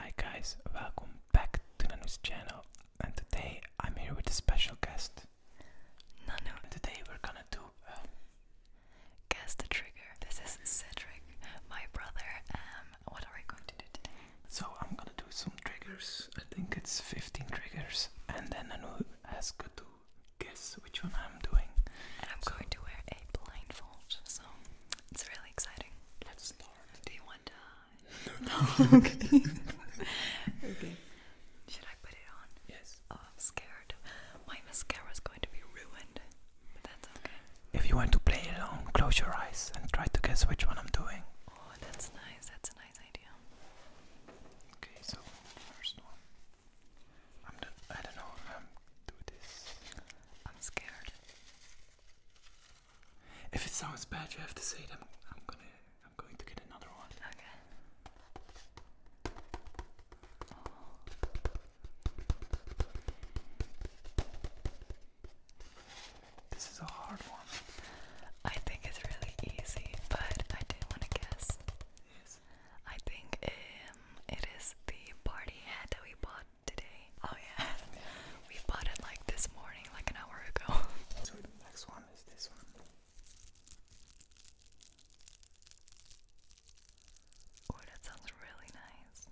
Hi guys, welcome back to Nanu's channel and today I'm here with a special guest. Nanu. And today we're gonna do um, Guess the trigger. This is Cedric, my brother. Um, what are we going to do today? So I'm gonna do some triggers. I think it's 15 triggers and then Nanu has got to guess which one I'm doing. And I'm going to wear a blindfold, so it's really exciting. Let's do you want to? No. okay. Should I put it on? Yes. Oh, I'm scared. My mascara is going to be ruined. But that's okay. If you want to play along, close your eyes and try to guess which one I'm doing. Oh, that's nice. That's a nice idea. Okay, so first one. I'm. I don't know. do this. I'm scared. If it sounds bad, you have to say it. I'm, gonna. I'm going to get another one. Okay. This is a hard one. I think it's really easy, but I do want to guess. Yes. I think um, it is the party hat that we bought today. Oh yeah, we bought it like this morning, like an hour ago. So the next one is this one. Oh, that sounds really nice.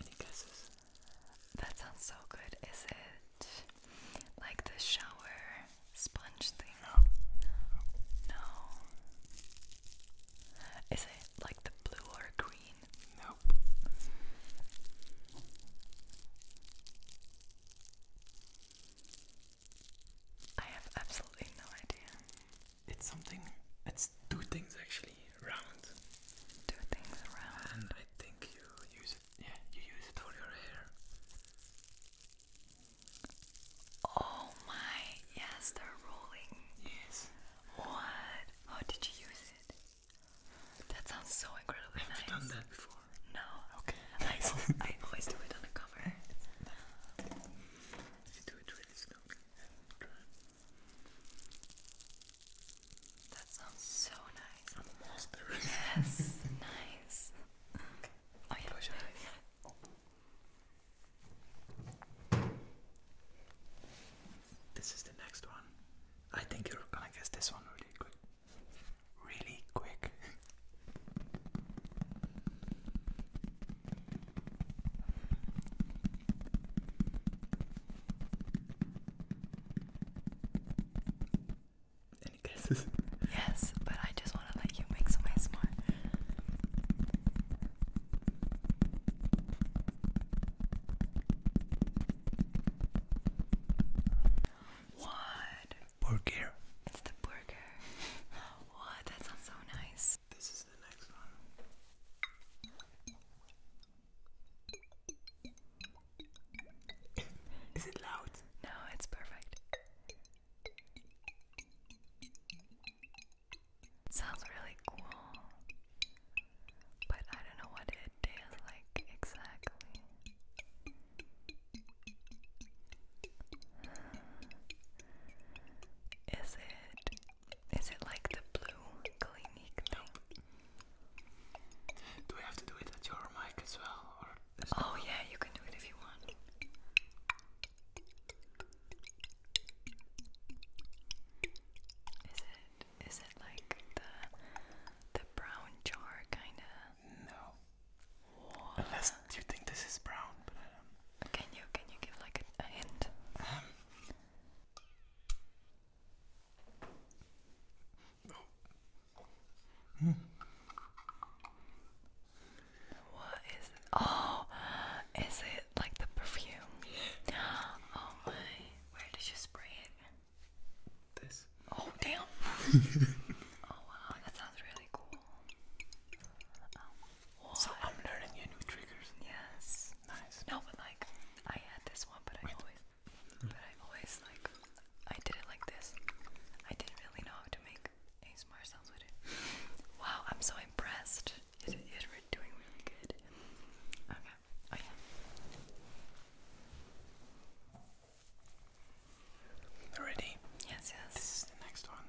Any guesses? That sounds so good. Is it like the shower sponge thing? No. No. Is it like the blue or green? Nope. I have absolutely no idea it's something. It's two things actually round. Two things round. And I think you use it. Yeah, you use it for your hair. Oh my! Yes, they rolling. Yes. What? How oh, did you use it? That sounds so incredibly Have Have done that before? No. Okay. I, I always do it on a cover. You do it really that sounds so nice. Yes, nice. Okay. Oh, this is the next one. I think you're gonna guess this one really quick. Really quick. Any guesses? Yes, but I just want to let you make some more. What? Burger. It's the burger. What? That sounds so nice. This is Is it loud? No, it's perfect. sounds really cool, but I don't know what it tastes like exactly. Is it is it like the blue clinic Do I have to do it at your mic as well? oh yeah, you can do it if you want. Is it is it like the the brown jar kinda? No. Unless you think this is brown, but I don't can you can you give like a, hint? Um. What is it? Oh, is it like the perfume? Oh my, where did you spray it? This. Oh, damn. oh wow, that sounds really cool. Oh, so I'm learning you new triggers. Yes. Nice. No, but like I had this one, but I always, but I always like I did it like this. I didn't really know how to make ASMR sounds with it. Wow, I'm so impressed. You're doing really good. Okay. Oh yeah. Ready? Yes, yes. This is the next one.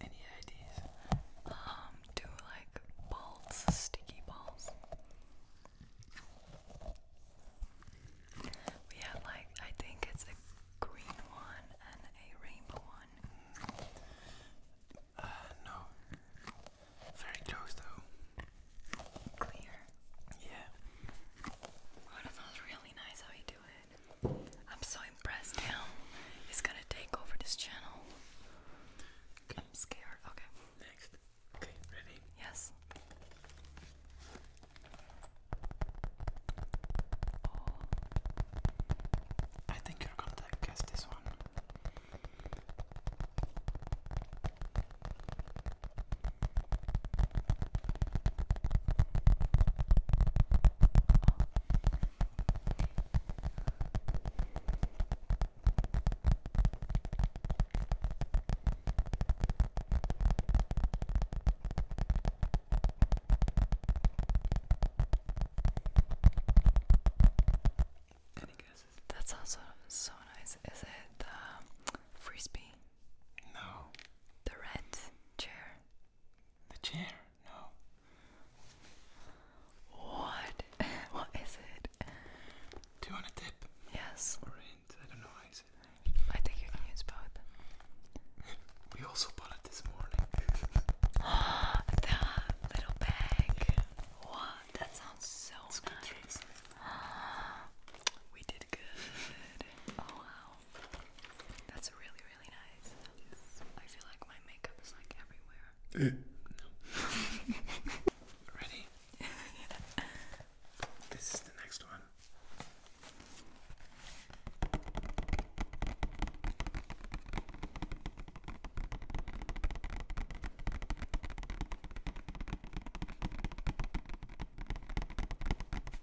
Any ideas? Um, do like balls, sticky balls. We have like I think it's a green one and a rainbow one. Uh, no. Very close though. Clear. Yeah. Oh, that sounds really nice how you do it. I'm so impressed He's gonna take over this channel. I'm scared. Okay. Next. Okay, ready? Yes. Oh. I think you're gonna guess this one. Any guesses? That's also so nice. Is it the um, frisbee? No. The red chair. The chair? No. What? what is it? Do you a tip? Yes. Or hint? I don't know I think you can use both. We also bought it this morning. Ah, little bag. Yeah. that sounds so nice. we did good. Oh, wow. That's really, really nice. I feel like my makeup is like everywhere. Eh. Ready? This is the next one.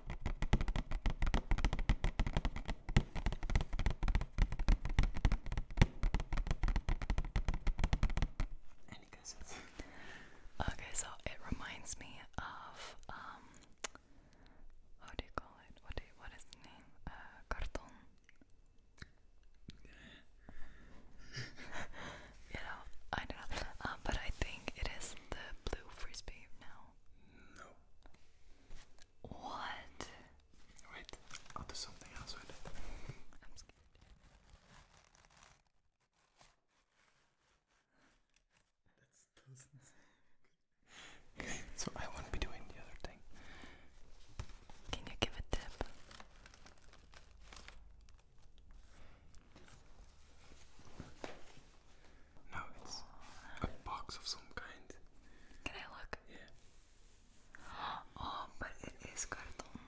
Okay, so it reminds me of um how do you call it? What what is the name? Uh, carton. you I know. Um, but I think it is the blue frisbee now. No. What? Wait, I'll do something else I'm scared. That doesn't so I won't be doing the other thing. Can you give a tip? No, it's a box of some kind. Can I look? Yeah. Oh, but it is carton.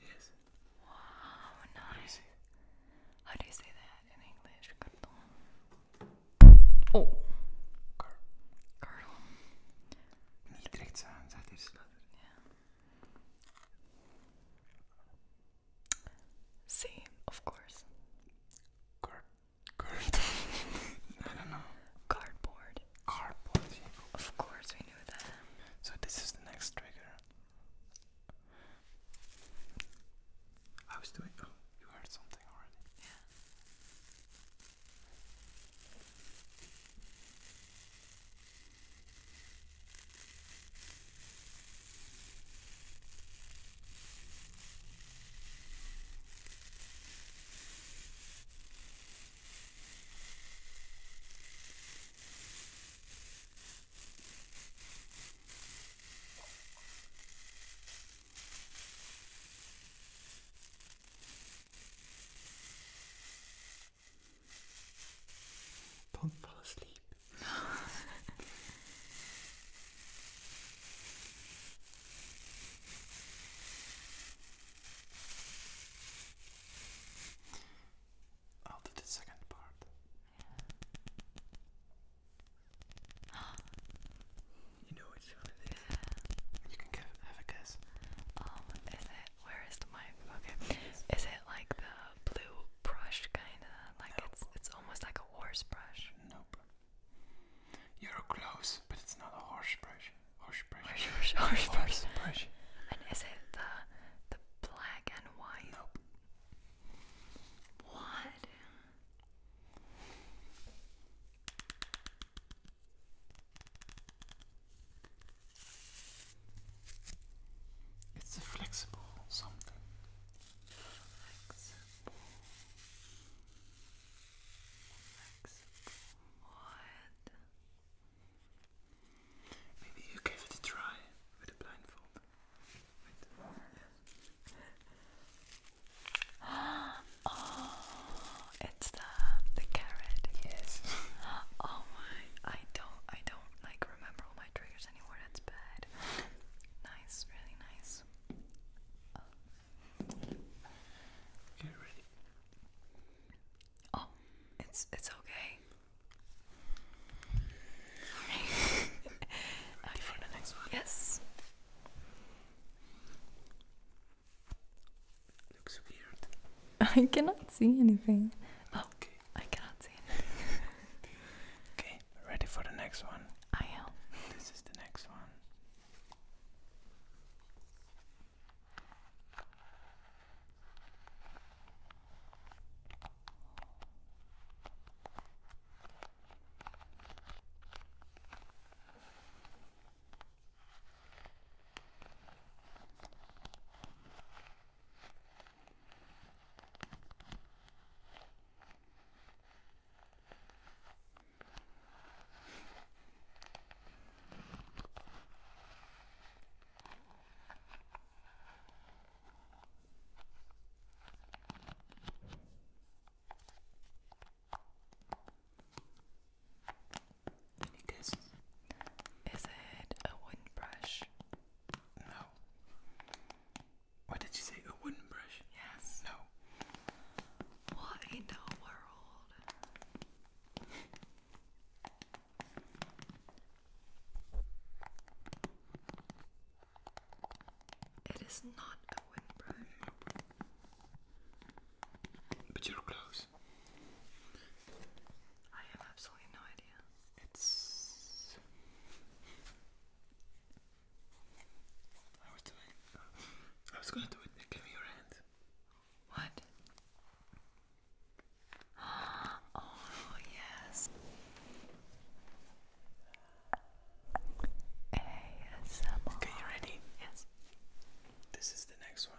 Yes. Wow, nice. How do you say that in English? Carton. Oh. Car. Carton. Niet rechts aan, zet See, of course. Card. Card. I don't Cardboard. Cardboard. Of course, we knew that. So this is the next trigger. I was doing. Oh, you heard something already. Yeah. Don't fall asleep. After oh, the second part. you know which one it is. You can give, have a guess. Um, is it? Where is the mic? Okay. Is it like the blue brush, kinda? Like it's it's almost like a horse brush? Nope. You're close, but it's not a horse brush. Horse brush. Horse, horse, horse brush. And is it the the black and white? Nope. What? It's a flexible something flexible, flexible Maybe you gave it a try with a blindfold. Yes. Oh, it's the the carrot. Yes. oh my! I don't, I don't like remember anymore, that's bad. Nice, really nice. Oh. ready. Oh, it's it's okay. Sorry. For the next one. Yes. Looks weird. I cannot see anything. Oh, I cannot see anything. okay ready for the next one? I am. This is the next one. Any guesses? Is it a wooden brush? No. What did you say? A wooden brush? Yes. No. What in the world? It is not a wooden brush. But you're close. I have absolutely no idea. I was doing. I was gonna do it. Give me your hand. What? Oh yes. ASMR. Okay, you ready? Yes. This is the next one.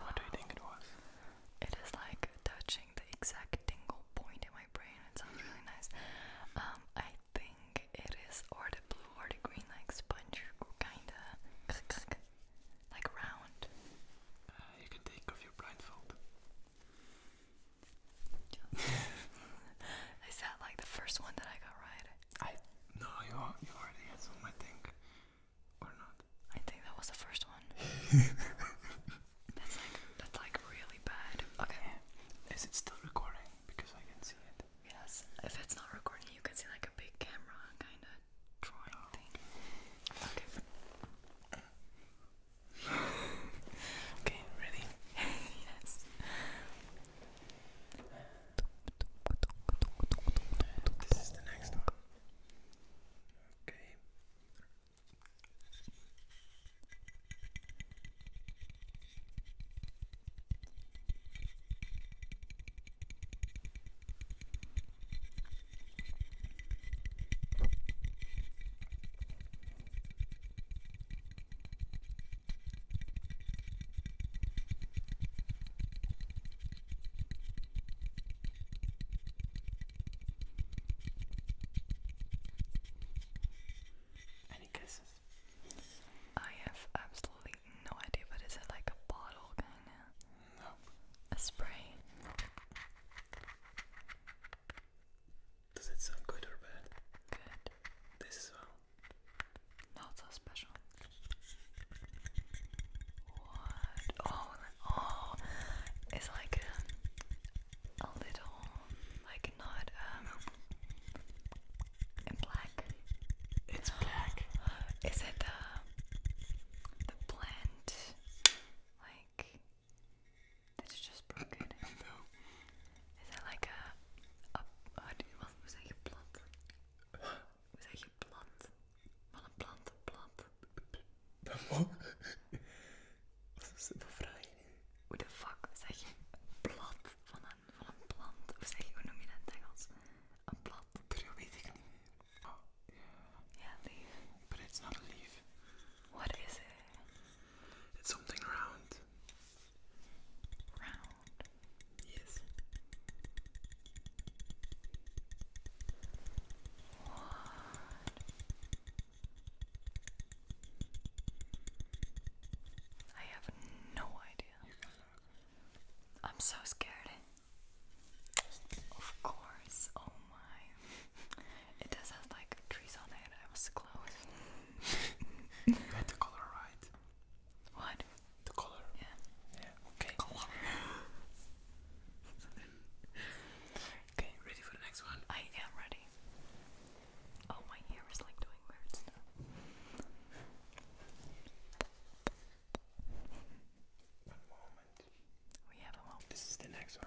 What do you think it was? It is like touching the exact tingle point in my brain. It sounds really nice. Um, I think it is or the blue or the green, like sponge, kinda. like round. Uh, you can take off your blindfold. Is that like the first one that I got right? no, you you already had I think, or not? I think that was the first one. that's like that's like really bad. Okay. Is it still recording? Because I can see it. Yes. If it's not recording, you can see like a big camera, kind of drawing thing. okay, ready? yes. This is the next one. Okay. Any kisses? I have absolutely no idea, but is it like a bottle kind a spray. Does it sound good or bad? Good. This is Not so special. What? Oh, oh, it's like um, a, little, like not um, in black. It's black. Is it uh, the plant, Like this is just broken. Is that like a, a, wat, hoe zeg je plat? Hoe zeg je plat? Van een plant, plat. Wat is dat vraag je fuck zeg je plat van een, van een plant? Of zeg je, hoe noem je dat A blad. Maar dat weet ik niet Yeah. Oh. Yeah, leaf. But it's What is it? It's something round. Round? Yes. What? I have no idea. I'm so scared. Of course, oh my. It does have like trees on it, I was close. you had the color right. What? The color. Yeah. Yeah, okay. Color. okay, ready for the next one? I am ready. Oh, my hair is like doing weird stuff. We have a moment. This is the next one.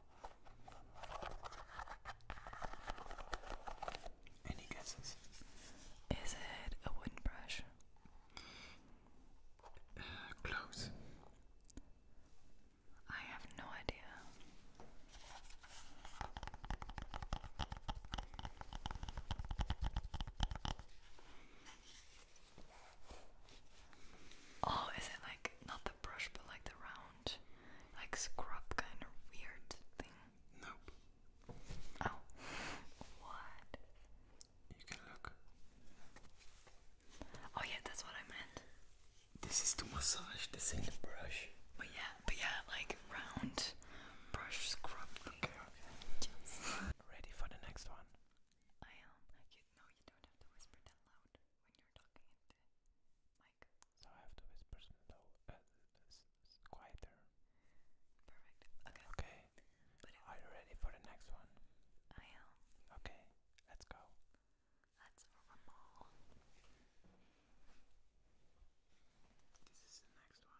Any guesses? Is it a wooden brush? Uh, close. I have no idea. Oh, is it like not the brush but like the round like scrub kind of weird thing? Nope. Oh, what? You can look. Oh yeah, that's what I meant. This is the massage. This is the brush. But yeah, but yeah, like round brush scrub. Okay. okay. Ready for the next one? I am. You, no, you don't have to whisper that loud when you're talking into mic. So I have to whisper slow, uh, quieter. Perfect. Okay. Okay. Are you ready for the next one? I am. Okay, let's go. Let's This is the next one.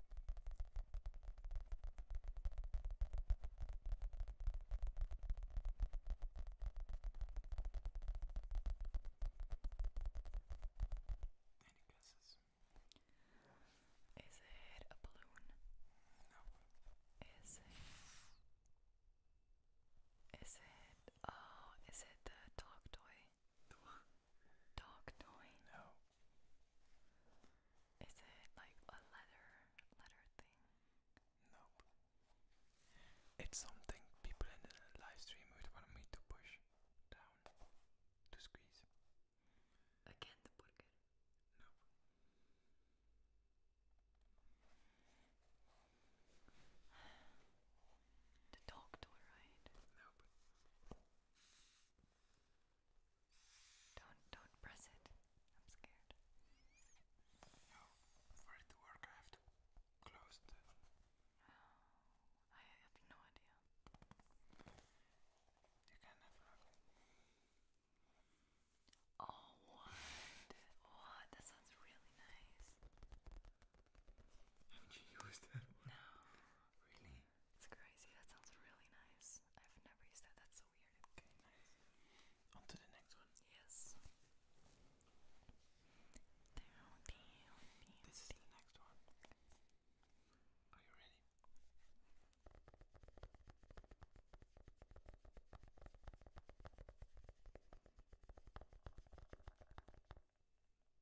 Any guesses? Is it a balloon? No. Is it? Is it? Oh, is it the dog toy? The what? dog toy? No. Is it like a leather leather thing? Nope. It's something people in the live stream would want me to push down to squeeze. Again the burger? No. The dog toy, right? Nope. Don't don't press it. I'm scared. No, for it to work I have to close the I have no idea. You cannot lock Oh what? what? Oh, that sounds really nice. have you used that one? No. Really? It's crazy. That sounds really nice. I've never used that. That's so weird. Okay, On to the next one. Yes. this is the next one. Are you ready?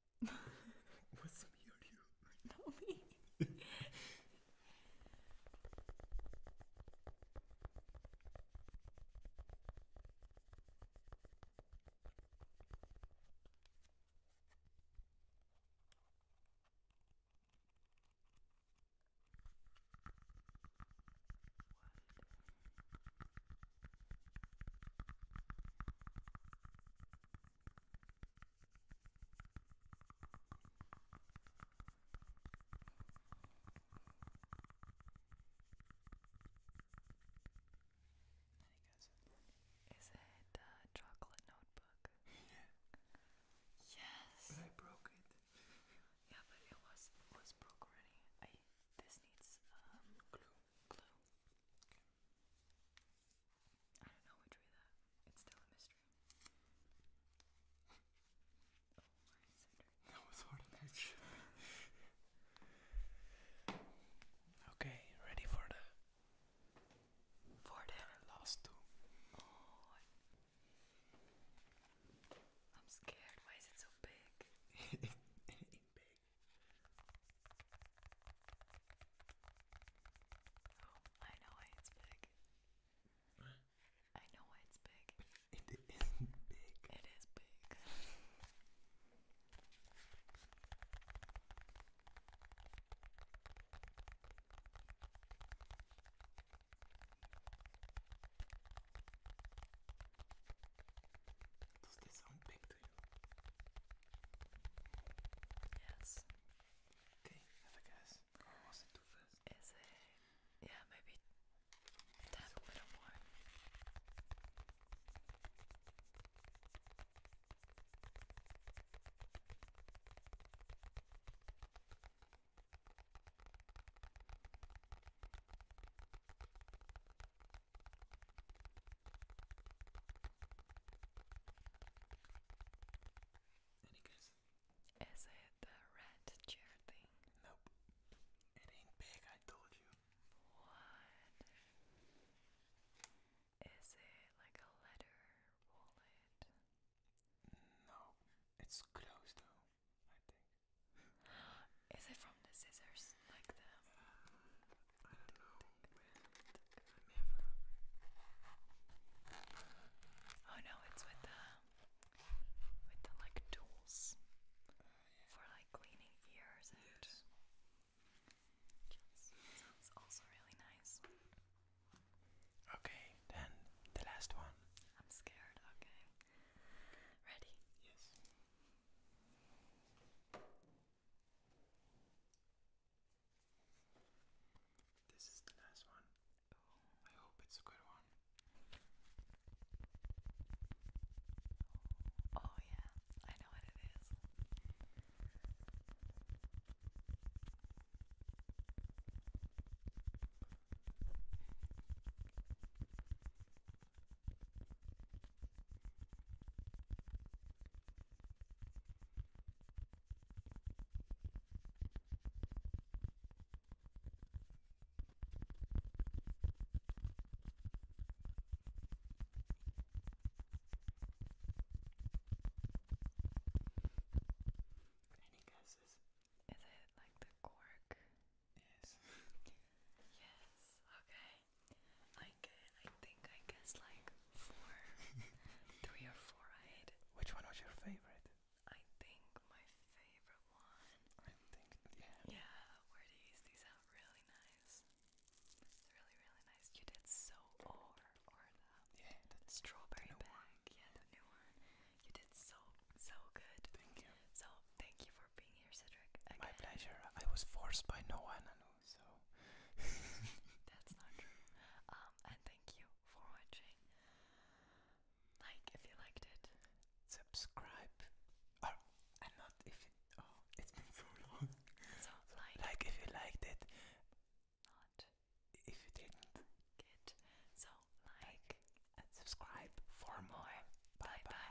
What's me or you? Not me. I think it chocolate notebook? Yes. I broke it. Yeah, but it was was broke already. I this needs um glue. Glue. I don't know which way that. It's still a mystery. Oh, that was harder than it Okay, ready for the. For the last two. Oh. I... am scared. Why is it so big? In big. Oh, I know why it's big. I know why it's big. It is big. It is big. Does this sound big? up to you. have a guess. Or was it too fast? Is it? Yeah, maybe tap a little more. Is it the red chair thing? Nope. It ain't big, I told you. What? Is it like a letter wallet? No, it's close though, I think. Is it from the scissors, like them? Uh, I am Oh no, it's with the with the like tools oh, for like cleaning ears and also really nice. Okay, then the last one. I'm scared, okay. Ready? Yes. This is the last one. Oh, I hope it's a good one. Oh, yeah, I know what it is. Any guesses? Is it like the cork? Yes. yes. Okay. I get, I think I guess like four, three or four Which one was your favorite? I think my favorite one. I think, yeah. Yeah, Wordies, these are really nice. really, really nice. You did so or, or the strawberry bag. Yeah, the new one. You did so, so good. Thank you. So, thank you for being here, Cedric. My pleasure. I was forced by no one so that's not true. Um, and thank you for watching. Like if you liked it, subscribe. Or oh, and not if you. Oh, it's been so long. So like. Like if you liked it. Not. If you didn't. Good. So like, and subscribe for more. bye. bye.